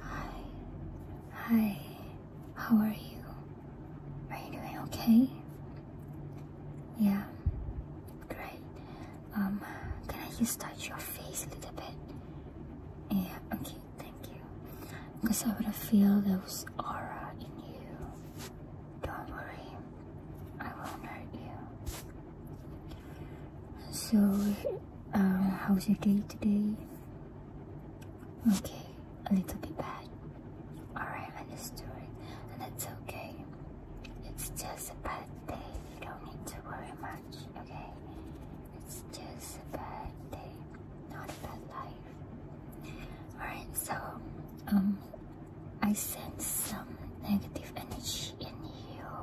Hi. Hi. How are you? Are you doing okay? Yeah. Great. Um, can I just touch your face a little bit? Yeah, okay, thank you. Because I wanna feel those aura in you. Don't worry. I won't hurt you. So, um, how was your day today? Okay, a little bit bad. Alright, understood. And it's okay. It's just a bad day. You don't need to worry much, okay? It's just a bad day, not a bad life. Alright, so, um, I sense some negative energy in you.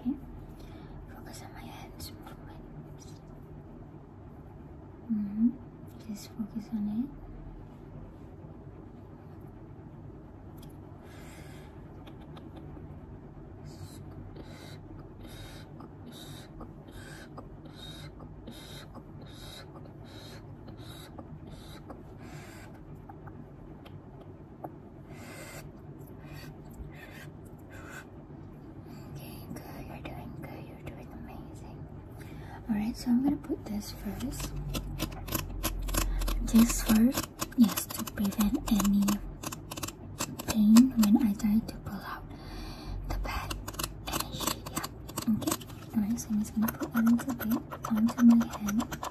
okay? Focus on my hands movements. -hmm. Just focus on it. Okay, good. You're doing good. You're doing amazing. Alright, so I'm gonna put this first. This first, yes, to prevent any pain when I try to pull out the bad energy. Yeah. Okay. Alright, so I'm just gonna put a little bit onto my hand.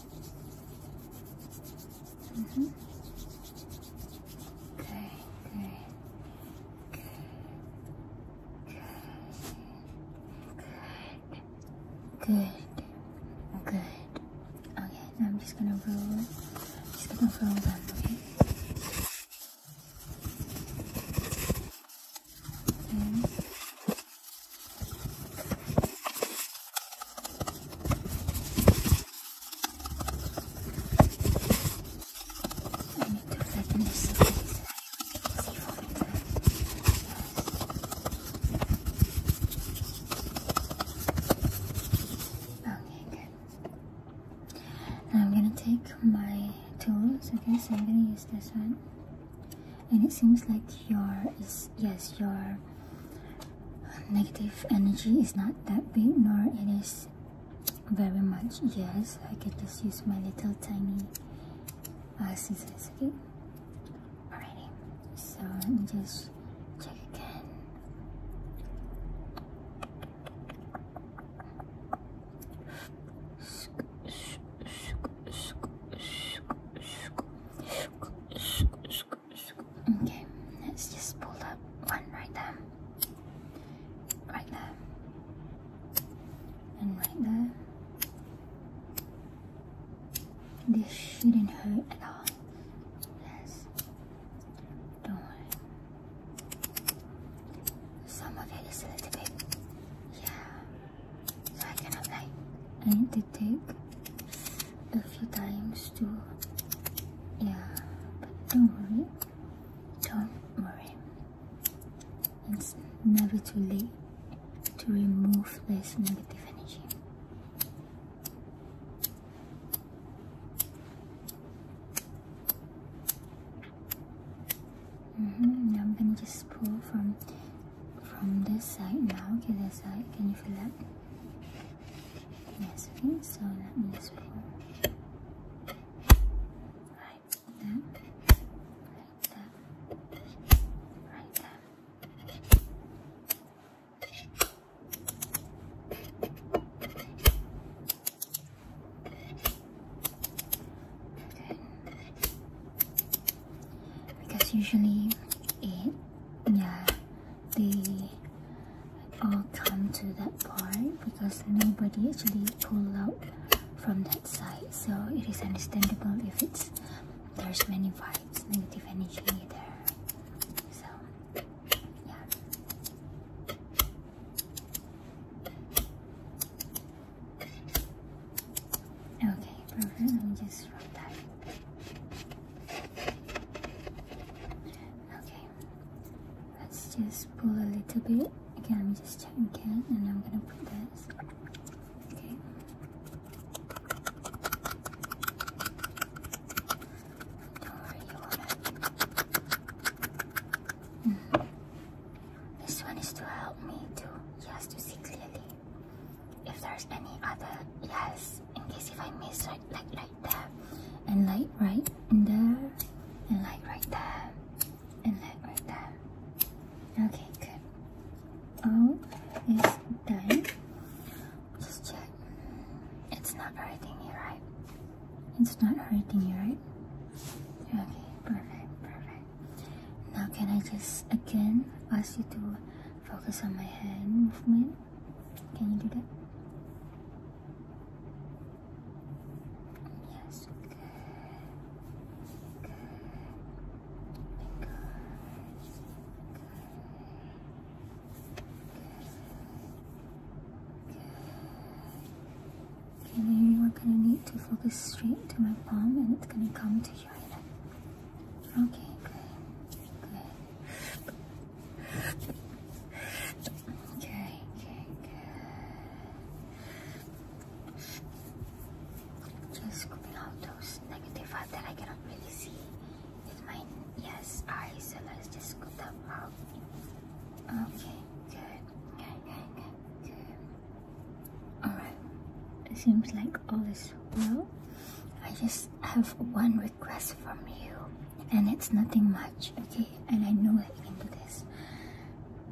Mm -hmm. Okay, okay, okay, good, good, good. Okay, I'm just gonna roll, just gonna roll them, Okay. Okay, good. Now I'm gonna take my tools. Okay, so I'm gonna use this one and it seems like your is yes your negative energy is not that big nor it is very much yes i can just use my little tiny uh, scissors okay alrighty so let me just check again Okay, let's just pull up one right there, right there, and right there. This shouldn't hurt at all. Yes, don't worry. Some of it is a little bit, yeah. So I cannot like, I need to take a few times to, yeah. But don't worry, don't worry. It's never too late to remove this negative energy. Mm -hmm. I'm gonna just pull from from this side now. Okay, this side. Can you feel that? Yes. Okay. So let me just Right there. Right there. Right there because usually it yeah they all come to that point because nobody actually pull out from that side so it is understandable if it's there's many vibes negative energy there so Okay, perfect. Let me just rub that. Okay, let's just pull a little bit. Again, I'm just checking again, and I'm gonna put this. Okay. Or oh, you want mm-hmm. This one is to help me to, yes, to see clearly. If there's any other, yes, in case if I miss, like like right there, and like right in there, and like right there, and like right there. Okay, good. All is done. Just check. It's not hurting you, right? It's not hurting you, right? Okay, perfect, perfect. Now can I just again ask you to focus on my hand movement? Can you do that? Yes, good. Good. Good. Okay, now you are gonna need to focus straight into my palm and it's gonna come to you. Okay, good, good. Okay, okay, good is scooping out those negative out that I cannot really see with my eyes. let's just scoop them out. Okay, good. Good, good, good, good. Alright. It seems like all is well. I just have one request from you and it's nothing much, okay? And I know that you can do this.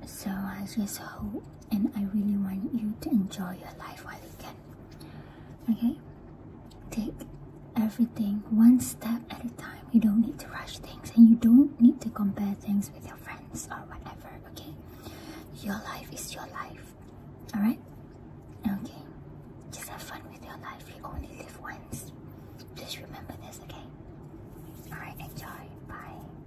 So I just hope and I really want you to enjoy your life while you can. Okay? Take everything one step at a time. You don't need to rush things and you don't need to compare things with your friends or whatever, okay? Your life is your life. Alright? Okay. Just have fun with your life. You only live once. Please remember this, okay? Alright, enjoy. Bye.